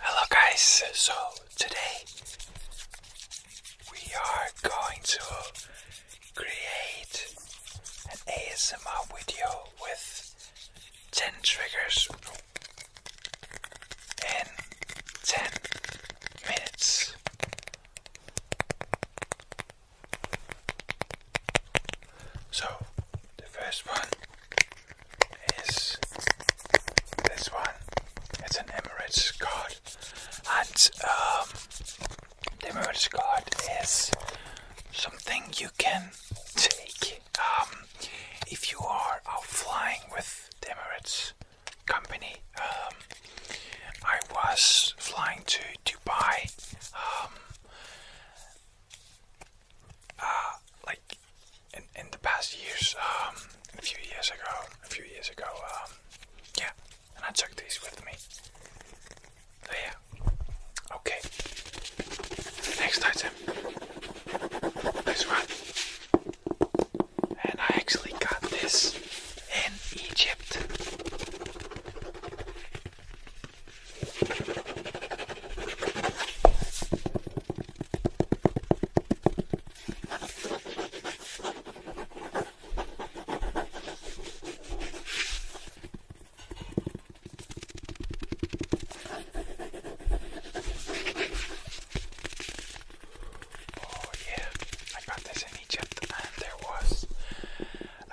Hello, guys. So, today we are going to create an ASMR video with 10 triggers in 10 minutes. So, the first one is this one. It's an Emirates card, and um, the Emirates card is something you can take um, if you are flying with Emirates company. Um, I was flying to Dubai uh, like in in the past years, um, a few years ago, a few years ago, um, yeah, and I took these with me. yeah, okay. Next item, this one, and I actually got this in Egypt. Oh, yeah, I got this in Egypt, and there was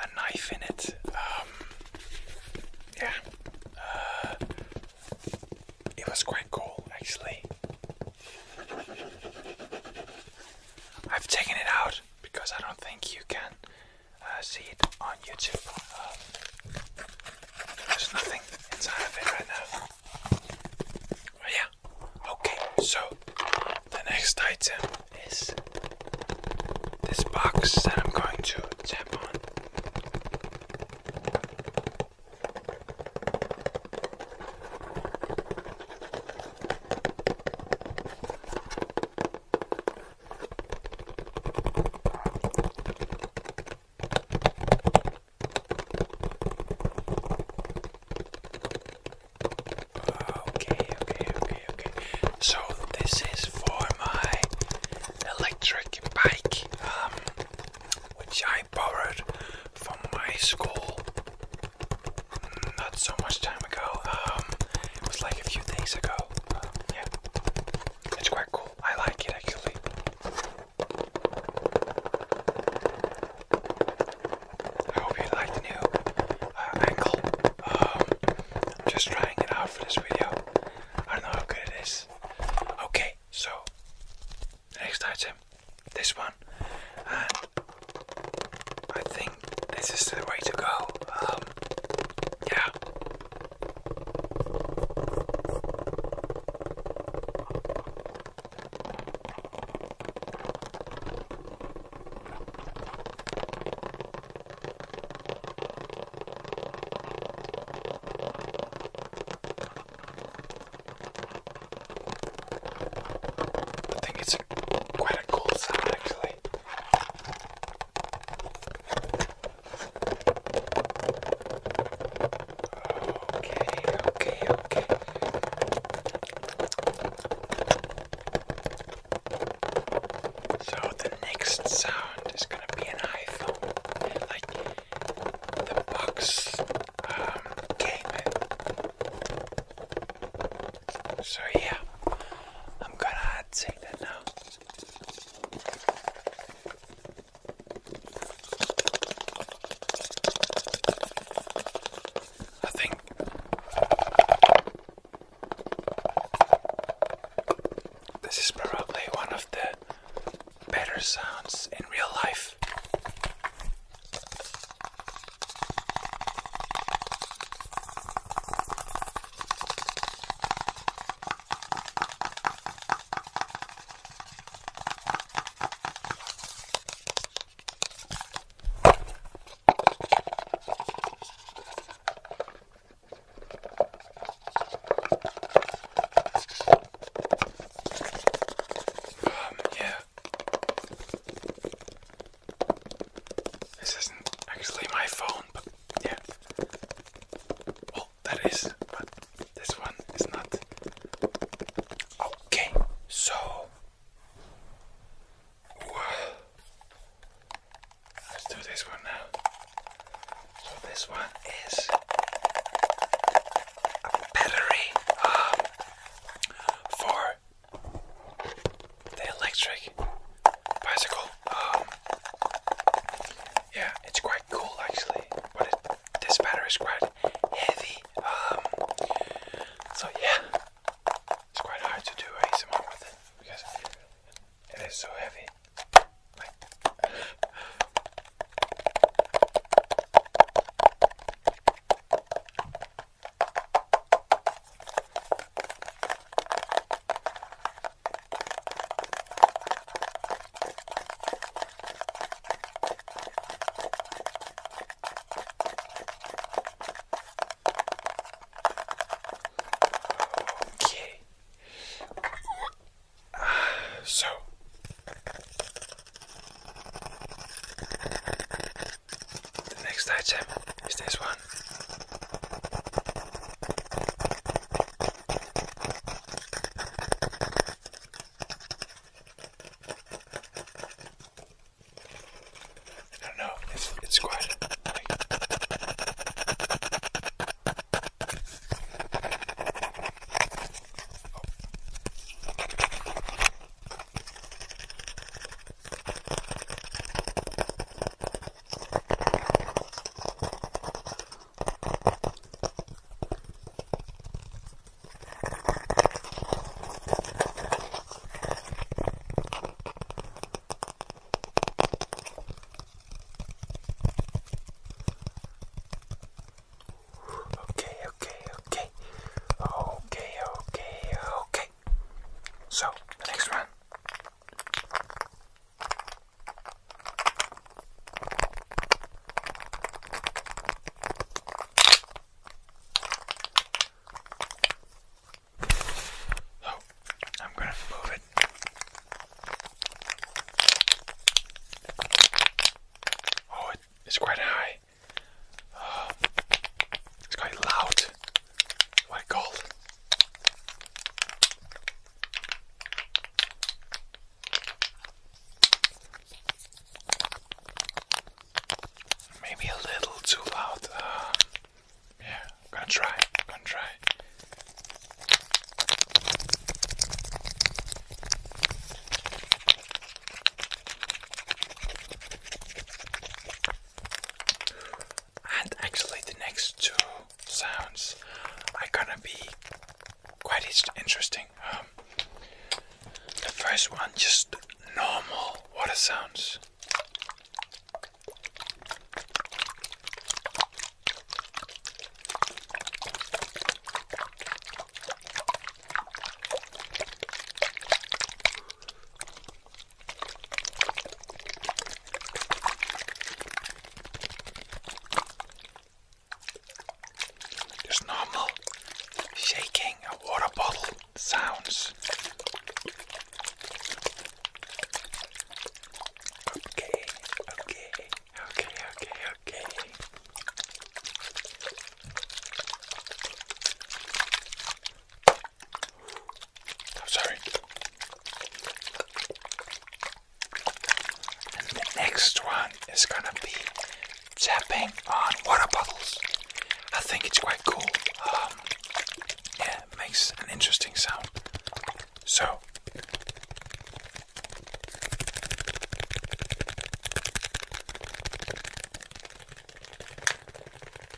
a knife in it. Um, yeah, uh, it was quite cool actually. I've taken it out because I don't think you can uh, see it on YouTube. Um, there's nothing inside of it right now. yeah, okay, so the next item is this box that I'm going to tap on. Okay, okay, okay, okay. So this is for my electric bike, um, which I borrowed from my school not so much time ago. Um, it was like a few days ago. yeah, it's quite cool. I like it actually. I hope you like the new uh, angle. Um, I'm just trying it out for this video. I don't know how good it is. Okay, so next item, this one, and I think this is the way to go. Um, yeah. I think it's quite a cool sound actually. Okay, okay, okay. So the next sound is gonna be an iPhone, like the box um, So yeah, I'm gonna take that now. I think this is probably one of the better sounds in real life. Um, yeah. This isn't actually my phone, but yeah. Oh, that is, but this one is not. Okay, so. Let's do this one now. So, this one is a battery um, for the electric bicycle. Um, yeah, it's quite cool actually, but it this battery is quite heavy. Um, so yeah, it's quite hard to do ASMR with it because it is so heavy. Okay. Uh, so the next item is this one. I don't know. It's it's quite like, oh. Okay, okay, okay. Okay, okay, okay. So, the next one so oh, I'm going to move it. Oh, it, it's quite high. Uh, it's quite loud. My God, Maybe a little too loud. Uh, yeah, gonna try. gonna try and actually the next two sounds are gonna be quite interesting. Um, the first one, just normal water sounds. Just normal shaking a water bottle sounds. Okay, okay, okay, okay, okay. I'm sorry. And the next one is gonna be tapping on water bottles. I think it's quite cool. Um, yeah, it makes an interesting sound. So.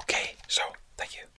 Okay, so thank you.